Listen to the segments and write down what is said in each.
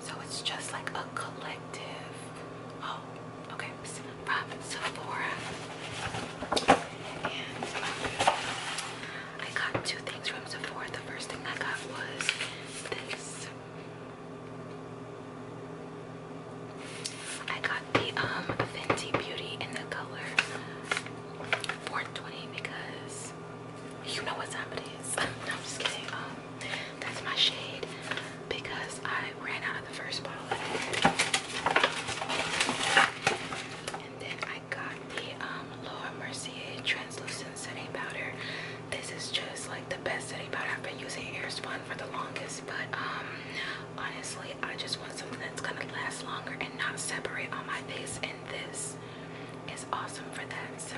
So it's just like a collective. Oh, okay, from Sephora. Um, I got two things from Sephora. The first thing I got was this. I got the um Fenty Beauty in the color 420 because you know what time it is. no, I'm just kidding. Um, that's my shade because I ran out of the first bottle. And then I got the um, Laura Mercier translucent setting powder. This is just like the best setting powder. I've been using Airspun for the longest, but um, honestly, I just want something that's gonna last longer and not separate on my face. And this is awesome for that. So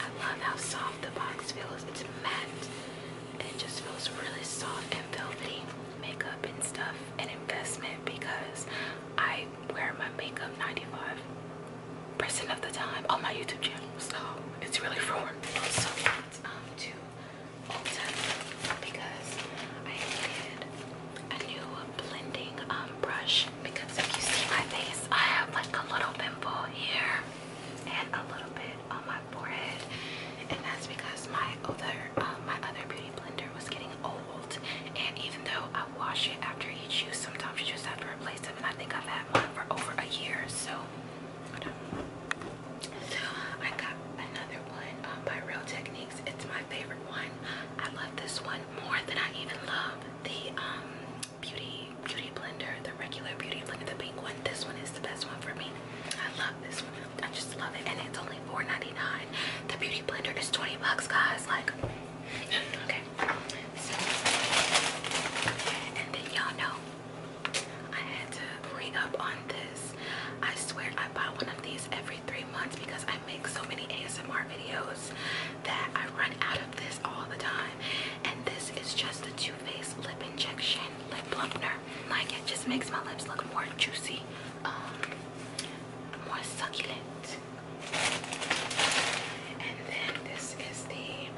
I love how soft the box feels. It's matte and it just feels really soft and velvety. Makeup and stuff, an investment because I wear my makeup 95% of the time on my YouTube channel, so it's really for work. So I went to Ulta because I needed a new blending um, brush because if you see my face, I have like a little pimple here and a little bit on my forehead, and that's because my um, my other beauty blender was getting old, and even though I wash it after each use, sometimes you just have to replace them. And I think I've had one for over a year, so. Hold on. I got another one um, by Real Techniques. It's my favorite one. I love this one more than I even love the um, beauty beauty blender, the regular beauty blender, the pink one. This one is the best one for me. I love this I just love it. And it's only $4.99. The beauty blender is 20 bucks, guys. Like, okay. and then y'all know I had to re up on this. I swear I buy one of these every three months because I make so many ASMR videos that I run out of this all the time. And this is just the Too Faced Lip Injection Lip Plumper. Like, it just makes my lips look more juicy um, more succulent. And then this is the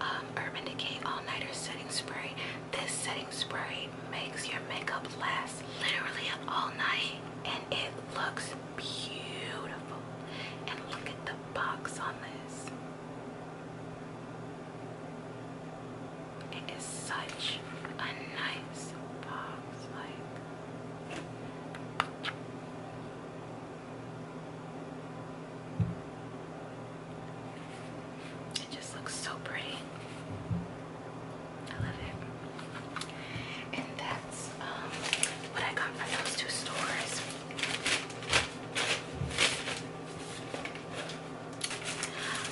um, Urban Decay All Nighter Setting Spray. This setting spray makes your makeup last literally all night, and it looks beautiful. And look at the box on this. It is such a nice box, like it just looks so pretty. I love it. And that's um, what I got from those two stores.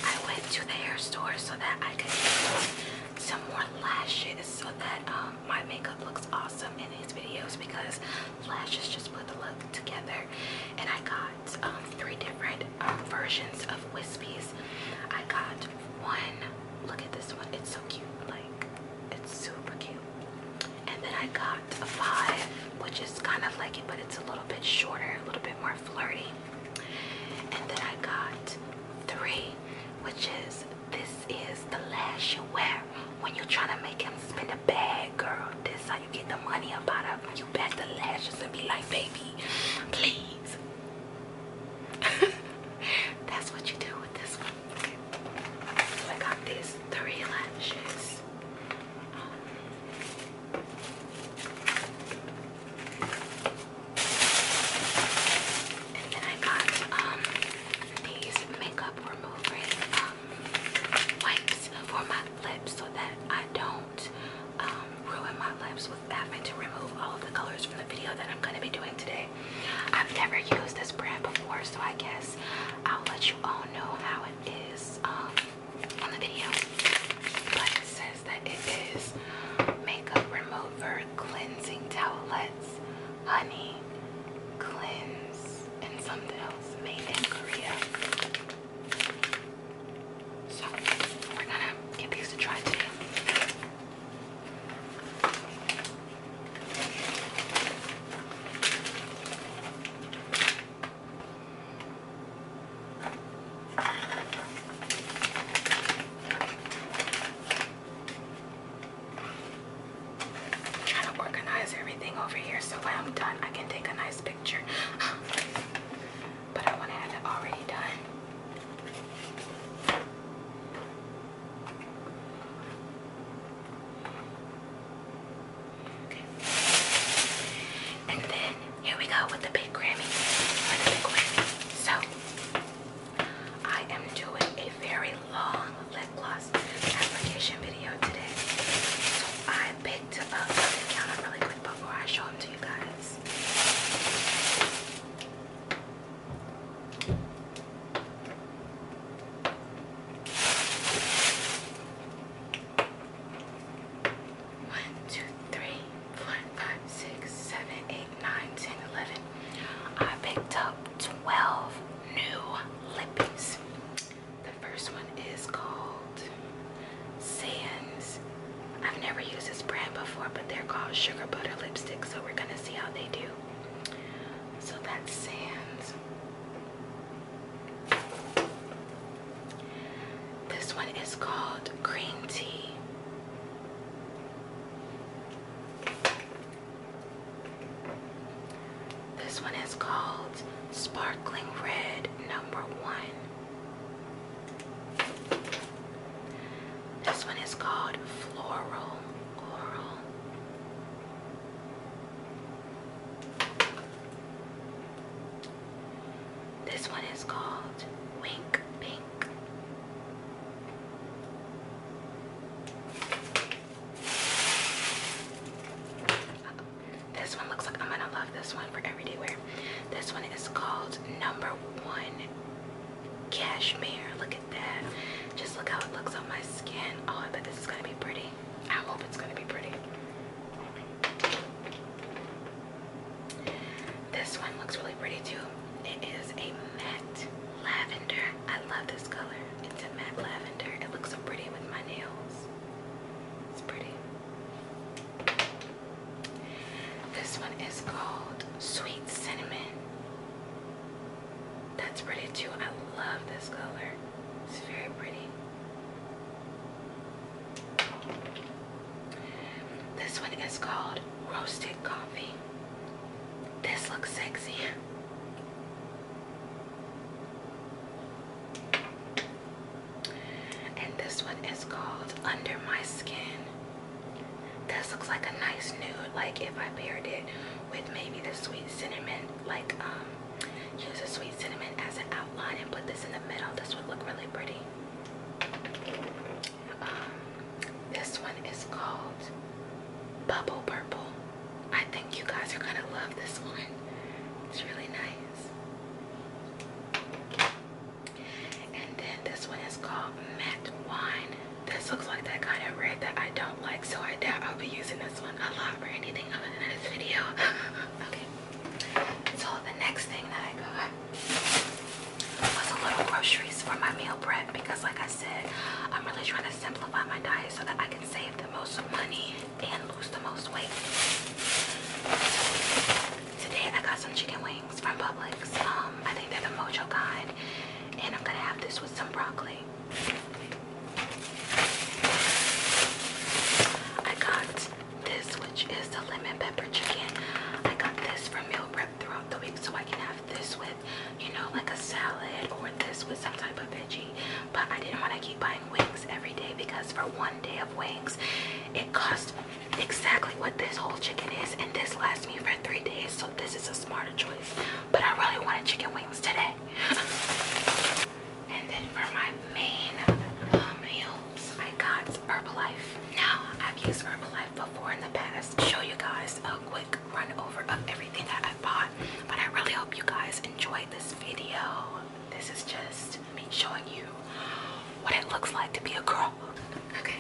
I went to the hair store so that I could get some more lashes so that um, my makeup looks awesome in these videos because lashes just put the look together. And I got um, three different um, versions of wispies. I got one. Look at this one. It's so cute. Like it's super cute. And then I got a five, which is kind of like it, but it's a little bit shorter, a little bit more flirty. And then I got three, which is this is the lash you wear when you're trying to make him spend the bag, girl. This how you get the money up out of you back the lashes and be like, baby, please. That's what you do with this one. So I got these three lashes. Um, and then I got um, these makeup removing um, wipes for my lips so that I don't um, ruin my lips with having to remove all of the colors from the video that I'm gonna be doing today. I've never used this brand before so I guess I'll let you all know how it is on the video, but it says that it is makeup remover cleansing towelettes, honey, cleanse, and something else made in Korea. So we're gonna give these a try today. Trying to organize everything over here so when I'm done, I can take a nice picture. but I want to have it already done. And then here we go with the big Grammy. So I am doing a very long lip gloss application video today. So I picked up the counter really quick before I show them to you guys. 1, 2, 3, 4, 5, 6, 7, 8, 9, 10, 11. I picked up 12 new lippies. The first one is called Sands. I've never used this brand before, but they're called Sugar Butter Lipstick, so we're going to see how they do. So that's Sands. This one is called green tea. This one is called Sparkling Red Number One. This one is called Floral this one is called Wink Pink. This one looks like I'm gonna love this one for everyday wear. This one is called Number One Cashmere. Look at that. Just look how it looks on my skin. Oh, I bet this is gonna be pretty. I hope it's going to be pretty. This one looks really pretty too. It is a matte lavender. I love this color. It's a matte lavender. It looks so pretty with my nails. It's pretty. This one is called Sweet Cinnamon. That's pretty too. I love this color. It's very pretty. This one is called Roasted Coffee. This looks sexy. And this one is called Under My Skin. This looks like a nice nude, like if I paired it with maybe the sweet cinnamon, like um Use a sweet cinnamon as an outline and put this in the middle. This would look really pretty. Um, this one is called Bubble Purple. I think you guys are gonna love this one. It's really nice. And then this one is called Matte Wine. This looks like that kind of red that I don't like, so I doubt I'll be using this a lot for anything other than this video. okay. So the next thing that I got was a little groceries for my meal prep because like I said, I'm really trying to simplify my diet so that I can save the most money and lose the most weight. today I got some chicken wings from Publix. Um, I think they're the mojo kind. And I'm gonna have this with some broccoli. I got this, which is the lemon pepper chicken. I got this for meal prep throughout the week, so I can have this with, you know, like a salad or this with some type of veggie. But I didn't want to keep buying wings every day because for one day of wings, it costs exactly what this whole chicken is, and this lasts me for three days. So this is a smarter choice. But I really wanted chicken wings today. And then for my main meals, um, I got Herbalife. Now, I've used Herbalife before in the past. Show you guys a quick run over of everything that I bought. But I really hope you guys enjoyed this video. This is just me showing you what it looks like to be a girl. Okay.